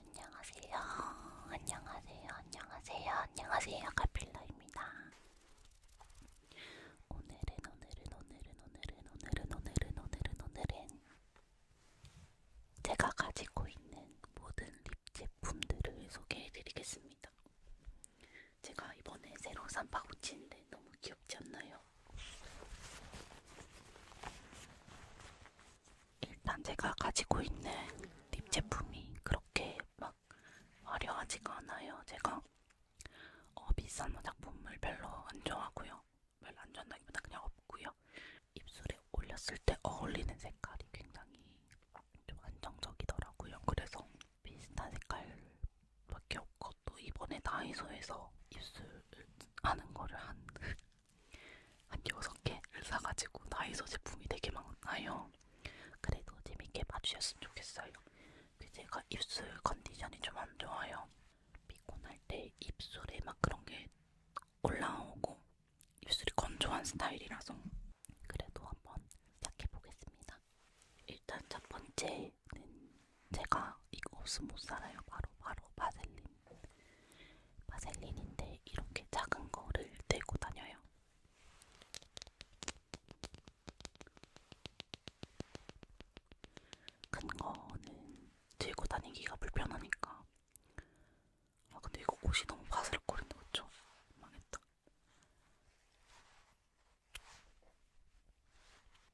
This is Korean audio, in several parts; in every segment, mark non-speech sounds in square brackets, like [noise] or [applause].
안녕하세요. 안녕하세요. 안녕하세요. 안녕하세요. 카필러입니다. 오늘은 오늘은 오늘은 오늘은 오늘은 오늘은 오늘은 오늘은 제가 가지고 있는 모든 립 제품들을 소개해드리겠습니다. 제가 이번에 새로 산 파우치인데 너무 귀엽지 않나요? 일단 제가 가지고 있는 립 제품이 그렇게 막 화려하지가 않아요. 제가 어, 비싼 화장품을 별로 안 좋아하고요. 별로 안 좋아한다기보다 그냥 없고요. 입술에 올렸을 때 어울리는 색깔이 굉장히 좀 안정적이더라고요. 그래서 비슷한 색깔밖에 없고 또 이번에 다이소에서 입술 하는 거를 한한 6개를 사가지고 나이소 제품이 되게 많아요. 그래도 재밌게 봐주셨으면 좋겠어요. 그 제가 입술 컨디션이 좀 안 좋아요. 피곤할 때 입술에 막 그런 게 올라오고 입술이 건조한 스타일이라서 그래도 한번 시작해보겠습니다. 일단 첫 번째는 제가 이거 없으면 못 살아요. 바로 바로 바셀린. 바셀린인데 이렇게 작은 거를 들고 다녀요. 큰 거는 들고 다니기가 불편하니까. 아 근데 이거 옷이 너무 바스락거린다 그쵸? 망했다.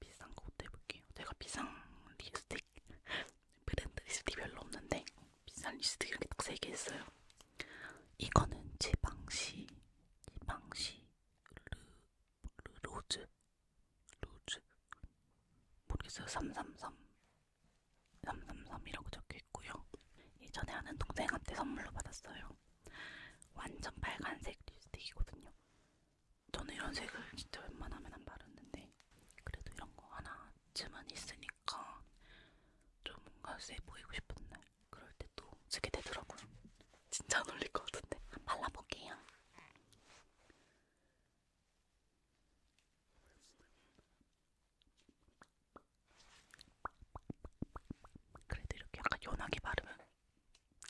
비싼 거못 해볼게요. 제가 비싼 리스틱 [laughs] 브랜드 리스트 별로 없는데 비싼 리스트 이렇게 딱 3개 있어요. 이거는 지방시, 지방시, 르, 르, 로즈, 로즈, 모르겠어요. 333, 333이라고 적혀있고요. 예전에 아는 동생한테 선물로 받았어요. 완전 빨간색 립스틱이거든요. 저는 이런 색을 진짜 웬만하면 안 바르는데 그래도 이런 거 하나쯤은 있으니까 좀 뭔가 세 보이고 싶은 날 그럴 때또 쓰게 되더라고요. 진짜 안 어울릴 것 같은데 발라볼게요. 그래도 이렇게 약간 연하게 바르면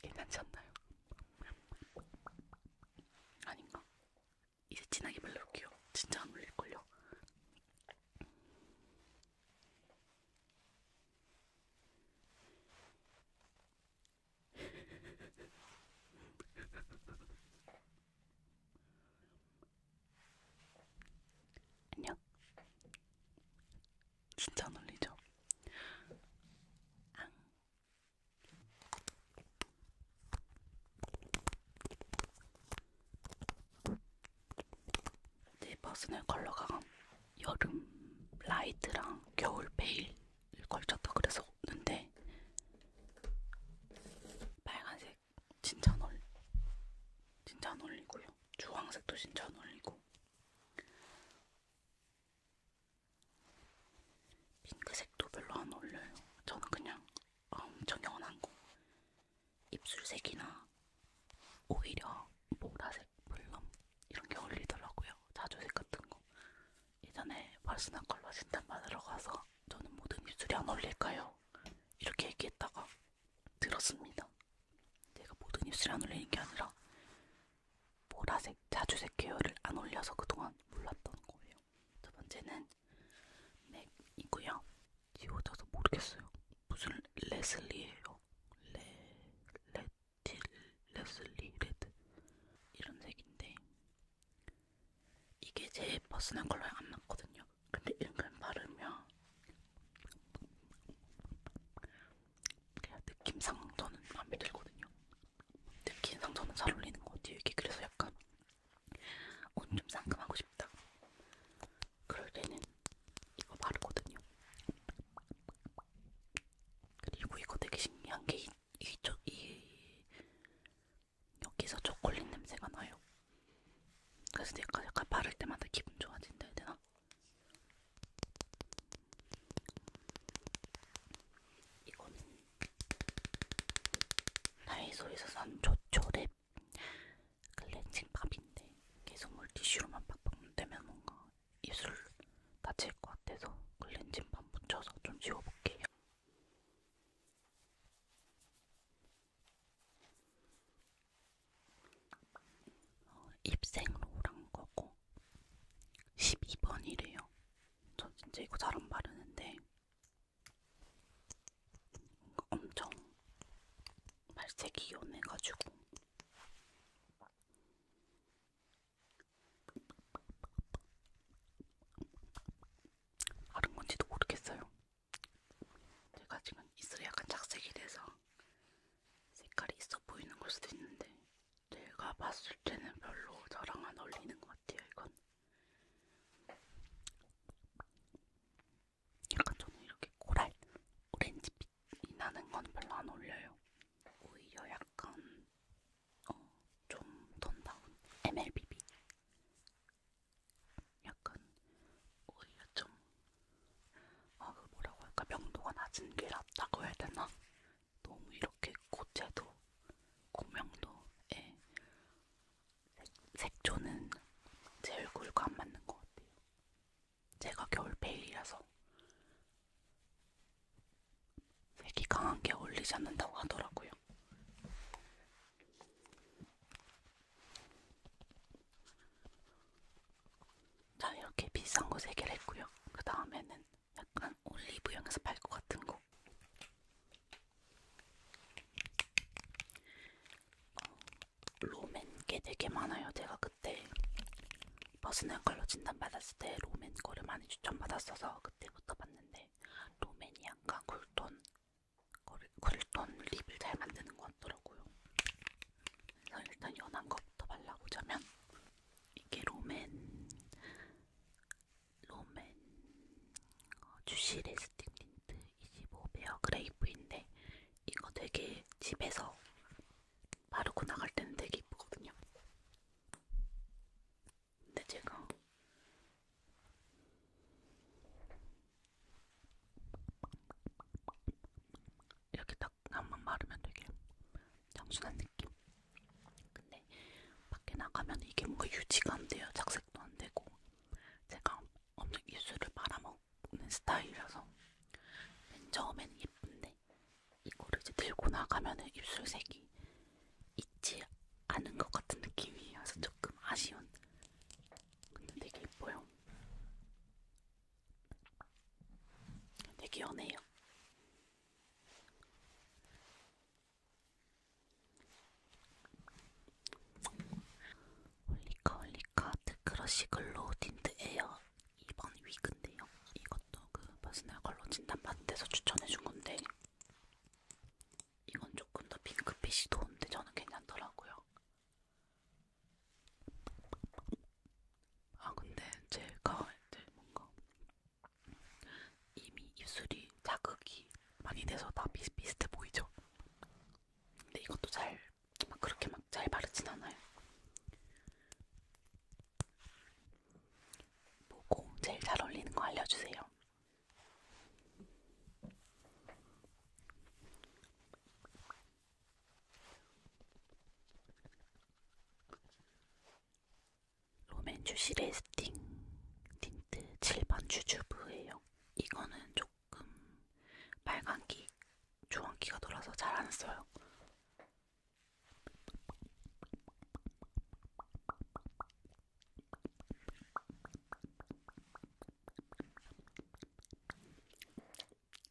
괜찮지 않나요? 아닌가? 이제 진하게 바를게요. 진짜 안 올릴걸요. 안녕. 진짜 안 올리죠? 앙. 내 네, 퍼스널 컬러가 여름 라이트랑 겨울 베일을 걸쳤다 그래서 는데 빨간색 진짜 안 어울 진짜 안 어울리고요. 주황색도 진짜 안 어울리고 핑크색도 별로 안 어울려요. 저는 그냥 엄청 연한 거. 입술색이나 오히려 보라색, 블럼 이런 게 어울리더라고요. 자주색 같은 거. 예전에 퍼스널 컬러 진단 받으러 가서 저는 모든 입술이 안 어울릴까요? 이렇게 얘기했다가 들었습니다. 제가 모든 입술이 안 어울리는 게 아니라 보라색, 자주색 계열을 안 올려서 그동안 몰랐던 거예요. 두 번째는 맥이고요. 지워져서 모르겠어요. 무슨 레슬리예요. 레... 레틸... 레슬리... 레드... 이런 색인데 이게 제 퍼스널 컬러에 안 맞거든요. 근데 은근 바르면 그냥 느낌상 저는 마음에 들거든요. 특히 상처는 잘 어울리는 것 같아요. 이게 그래서 약간 옷 좀 상큼하고 싶다. 그럴 때는 이거 바르거든요. 그리고 이거 되게 신기한 게 이쪽 이, 이 여기서 초콜릿 냄새가 나요. 그래서 내가 약간 바를 때마다 기분 좋아진다 해야 되나? 이거는 다이소에서 산 조초랩 클렌징 팝인데 계속 물티슈로만 팍팍 문대면 뭔가 입술 다칠 것 같아서 클렌징 팝 묻혀서 좀 지워볼게요. 어, 입생로란 거고 12번이래요. 저 진짜 이거 잘 안 바르는데 뭔가 엄청 발색이 연해가지고 바른 건지도 모르겠어요. 제가 지금 입술이 약간 착색이 돼서 색깔이 있어 보이는 걸 수도 있는데 내가 봤을 때는 별로 저랑 안 어울리는 것 같아요. 이건 약간 저는 이렇게 코랄 오렌지빛이 나는 건 별로 안 어울려요. 오히려 약간 어, 좀 톤다운 MLBB 약간 오히려 좀 아, 그 뭐라고 할까 명도가 낮은 게 낫다고 해야 되나? 너무 이렇게 고체도 고명도에 예. 색조는 제 얼굴과 안 맞는 것 같아요. 제가 겨울페일이라서 색이 강한 게 어울리지 않는다고 하더라고요. 자 이렇게 비싼 거 세 개를 했고요. 그 다음에는 약간 약간 올리브영에서 팔것 같은 거. 어, 로맨 게 되게 많아요. 제가 그때 버스널 컬러 진단 받았을 때 로맨 거를 많이 추천받았어서 그때부터 봤는데 로맨이 약간 쿨톤 거를, 쿨톤 립을 잘 만드는 것 같더라고요. 그래서 일단 연한 것부터 발라보자면 이게 로맨 로맨 어, 주시 레스팅 틴트 25베어 그레이프인데 이거 되게 집에서 바르고 나갈 때는 되게 이쁘거든요. 근데 제가 이렇게 딱 한번 바르면 되게 장순한 느낌. 근데 밖에 나가면 이게 뭔가 유지가 안 돼요. 착색도 안 되고. 제가 엄청 입술을 말아먹는 스타일이라서 맨 처음에는 예쁜데 이거를 이제 들고 나가면은 입술색이 있지 않은 것 같은 느낌이어서 조금 아쉬운. 근데 되게 예뻐요. 되게 연해요. 올리카 올리카 드크러쉬 글로우 틴트 에어 2번 위그인데요. 이것도 그 퍼스널 컬러 진단받은 데서 추천해준 건데 이건 조금 더 핑크빛이 도는데 저는 괜찮더라고요. 아 근데 제가 이제 뭔가 이미 입술이 자극이 많이 돼서 다 비슷비슷해 보이죠? 근데 이것도 잘 막 그렇게 막 잘 바르진 않아요. 보고 제일 잘 어울리는 거 알려주세요. 로맨주시 레스팅 틴트 7번 주주부예요. 이거는 조금 빨간기, 조원기가 돌아서 잘 안 써요.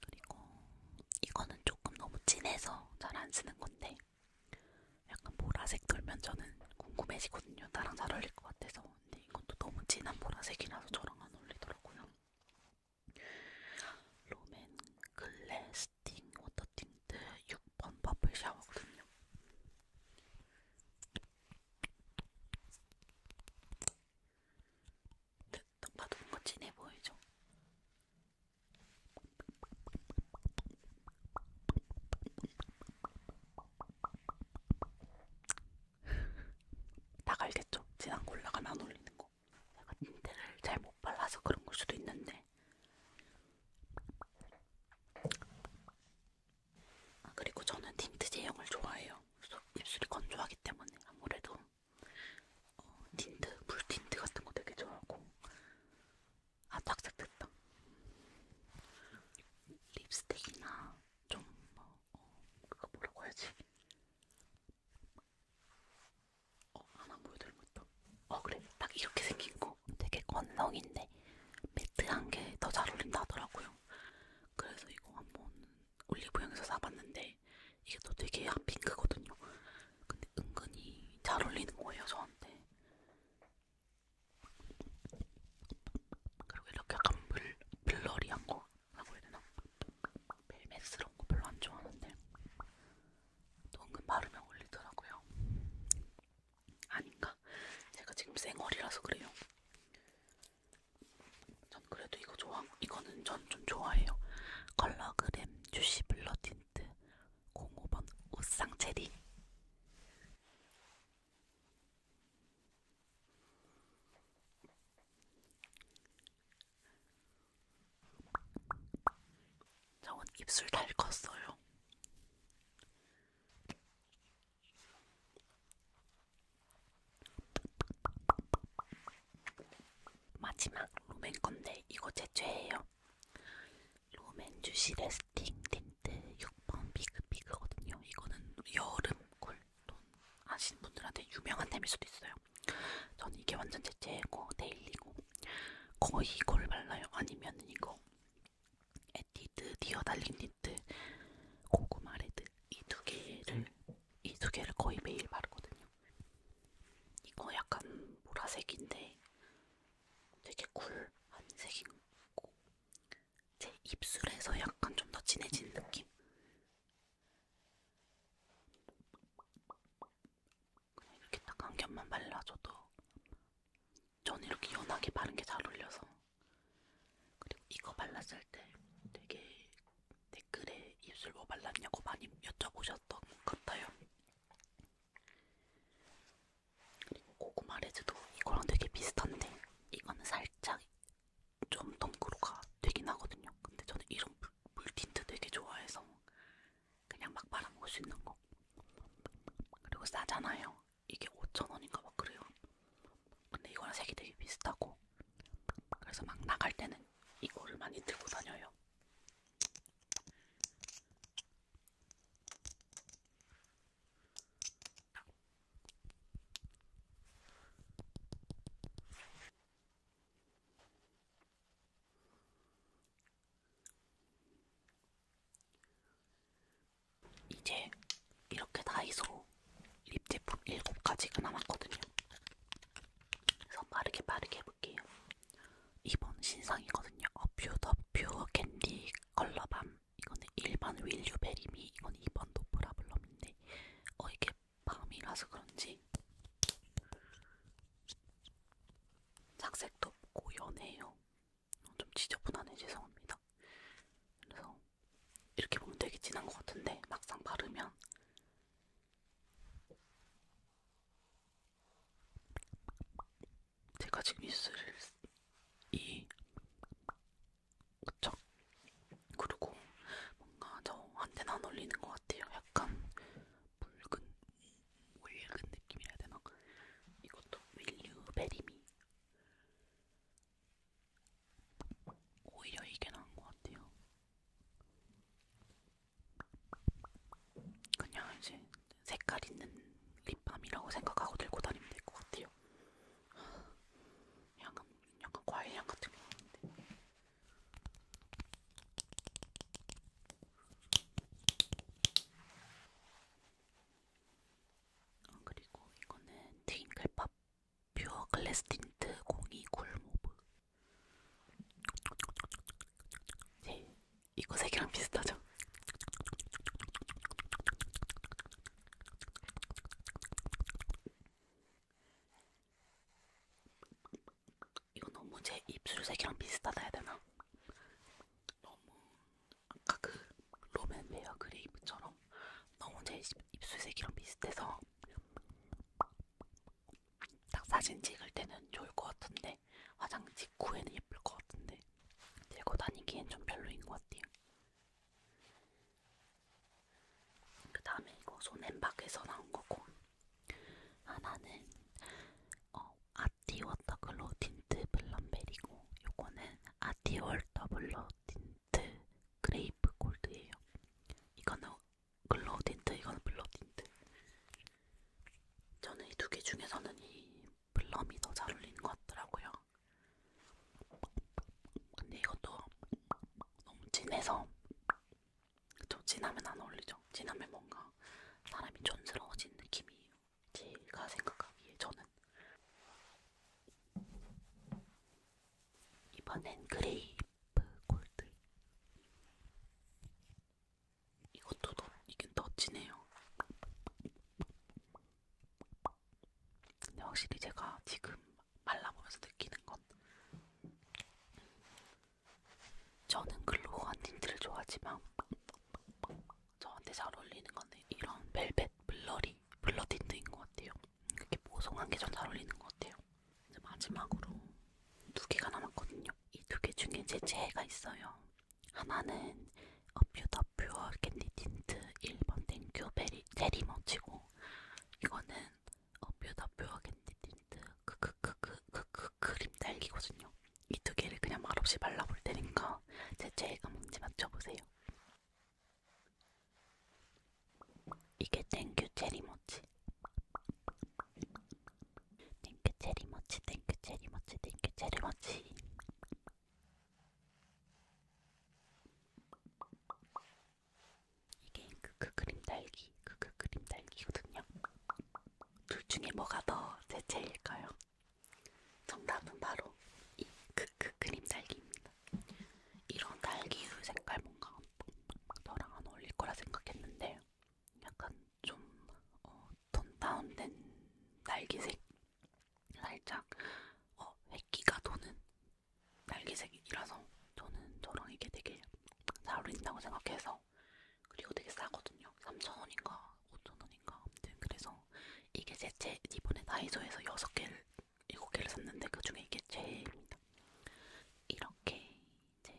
그리고 이거는 조금 너무 진해서 잘 안 쓰는 건데 약간 보라색 돌면 저는 궁금해지거든요. 나랑 잘 어울릴 것 같아서. 근데 이것도 너무 진한 보라색이라서 저랑 안 어울리더라고요. 롬앤 글래 스팅 워터 틴트 6번 퍼플 샤워거든요. 네, 근데 딱 봐도 뭔가 진해 보이죠? 딱 [laughs] 알겠죠? 진한 거 올라가면 안 올리는 거. 내가 인테를 잘 못 발라서 그런 걸 수도 있는데. 아 그리고 저는 틴트 제형을 좋아해요. 입술이 건조하기 때문에 아무래도 어, 틴트, 물 틴트 같은 거 되게 좋아하고 아 착색 됐다 립스틱이나 좀뭐 어, 그거 뭐라고 해야지 어 하나 보여드리면 있다 어 그래 딱 이렇게 생긴 거 되게 건성인데 매트한 게 더 잘 어울린다 하더라고요 그래서 이거 한번 올리브영에서 사봤는데 이게 또 되게 핫핑크거든요. 아, 근데 은근히 잘 어울리는 거예요 저한테. 그리고 이렇게 약간 물, 블러리한 거 라고 해야 되나? 벨벳스러운 거 별로 안 좋아하는데 또 은근 바르면 어울리더라고요. 아닌가? 제가 지금 쌩얼이라서 그래요. 전 그래도 이거 좋아. 이거는 전 좀 좋아해요. 컬러그램 주시 블러 틴트 05번 우상 체리. 저건 입술 달 컸어요. 마지막 롬앤 건데 이거 제 최애예요. 롬앤 주시 레스팅 틴트 6번 비그비그거든요. 이거는 여름 쿨톤 아시는 분들한테 유명한 템일 수도 있어요. 전 이게 완전 제 최애고 데일리고 거의 이걸 발라요. 아니면 이거 에뛰드 디어 달린 틴트 고구마 레드 이 두 개를 음. 이두 개를 거의 매일 바르거든요. 이거 약간 보라색인데 되게 쿨한 색이고 제 입술에서 약간 좀 더 진해진 느낌? 그냥 이렇게 딱 한 겹만 발라줘도 전 이렇게 연하게 바른 게 잘 어울려서 그리고 이거 발랐을 때 되게 댓글에 입술 뭐 발랐냐고 많이 여쭤보셨던 것 같아요. 그리고 고구마 레즈도 이거랑 되게 비슷한데 이거는 살짝 좀 덩그로가 되긴 하거든요. 근데 저는 이런 물, 물 틴트 되게 좋아해서 그냥 막 발라먹을 수 있는 거. 그리고 싸잖아요. 이게 5,000원인가 막 그래요. 근데 이거랑 색이 되게 비슷하고 그래서 막 나갈 때는 이거를 많이 들고 다녀요. 이제 이렇게 다이소 립 제품 7가지가 남았거든요. 그래서 빠르게 빠르게 해볼게요. 이번 신상이거든요. 어퓨 더 퓨어 캔디 컬러밤. 이거는 일반 윌유베리미, 이건 2번 도프라블럼인데 어 이게 밤이라서 그런지 착색도 없고 연해요. 좀 지저분하네 죄송합니다. 그래서 이렇게 보면 되게 진한 것 같은데 막상 바르면 제가 지금 있을 이 그쵸? 그리고 뭔가 저한테는 안 어울리는 것 같아요. 약간 붉은 붉은 느낌이라 해야 되나? 이것도 윌류 베리미 오히려 이게 나은 것 같아요. 그냥 이제 색깔 있는 립밤이라고 생각하고 들고 다니면 될 것 같아요. 약간, 약간 과일향 같은 게 나는데. 아, 그리고 이거는 트윙클팝 퓨어 글래스 틴트 02 쿨모브 네, 이거 세 개랑 비슷하죠? 이거 너무 제 입술 색이랑 비슷하다 해야 되나? 너무 아까 그 로맨베어 그레이브처럼 있어요. 너무 제 입술색이랑 비슷해서 딱 사진 찍을 때는 좋을 것 같은데 화장 직후에는 예쁠 것 같은데 들고 다니기엔 좀 별로인 것 같아요. 그 다음에 이거 손앤박에서 나온 거고 하나는 어, 아티 워터글로우 틴트 블럼베리고 요거는 아티 워터블러 틴트 틴트 그레이프 골드예요. 이거는 글로우 틴트, 이거는 블러 틴트. 저는 이 두 개 중에서는 이 블럼이 더 잘 어울리는 것 같더라고요. 근데 이것도 너무 진해서 좀 진하면 안 어울리죠. 진하면 뭔가 사람이 촌스러워진 느낌이에요. 제가 생각하기에 저는 이번엔 그레이프 골드. 이것도 더, 이게 더 진해요. 근데 확실히 제가 지금 말라보면서 느끼는 건 저는 글로우한 틴트를 좋아하지만 저한테 잘 어울리는 건 이런 벨벳 블러리 블러 틴트인 것 같아요. 이렇게 보송한 게좀잘 어울리는 것 같아요. 이제 마지막으로 두 개가 남았거든요. 이 두 개 중에 제 재해가 있어요. 하나는 어퓨더 퓨어 캔디 틴트 1번 땡큐 베리 제리 머치고 이거는 어퓨더 퓨어 캔디 틴트 크크크크크크 크림 딸기거든요. 이 두 개를 그냥 말없이 발라볼 테니까 제 재해가 뭔지 맞춰보세요. 이게 땡큐 체리모치 땡큐 체리모치 땡큐 체리모치 땡큐 체리모치 이게 크크 그, 그 그림 달기 크크 그, 그림 달기거든요 둘 중에 뭐가 더 대체일까요? 정답은 바로 이 크크 그림 달기입니다 이런 딸기우유 색깔 뭔가 너랑 안 어울릴 거라 생각했는데 약간 좀 어, 톤 다운된 날기색 살짝 어, 획기가 도는 날기색이라서 저는 저랑 이게 되게 잘 어울린다고 생각해서 그리고 되게 싸거든요 3,000원인가 5,000원인가 아무튼 그래서 이게 제제 이번에 다이소에서 6개를 7개를 샀는데 그 중에 이게 제일입니다. 이렇게 이제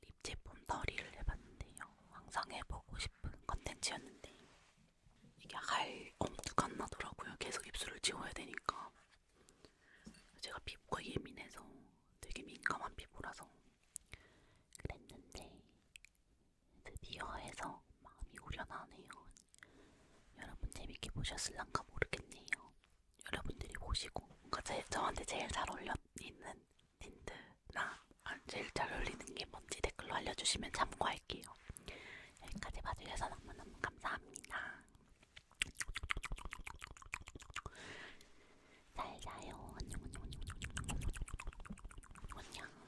립 제품 더리를 해봤는데요. 항상 해보고 싶은 컨텐츠였는데 이게 할 엄두가 안 나더라고요. 계속 입술을 지워야 되니까. 제가 피부가 예민해서 되게 민감한 피부라서 그랬는데 드디어 해서 마음이 우려나네요. 여러분 재밌게 보셨을랑가 모르겠네요. 여러분들이 보시고 뭔가 제, 저한테 제일 잘 어울리는 틴트나 제일 잘 어울리는 게 뭔지 댓글로 알려주시면 참고할게요. 여기까지 봐주셔서 너무너무 감사합니다. 잘 자요. 안녕 안녕 안녕 안녕 안녕 안녕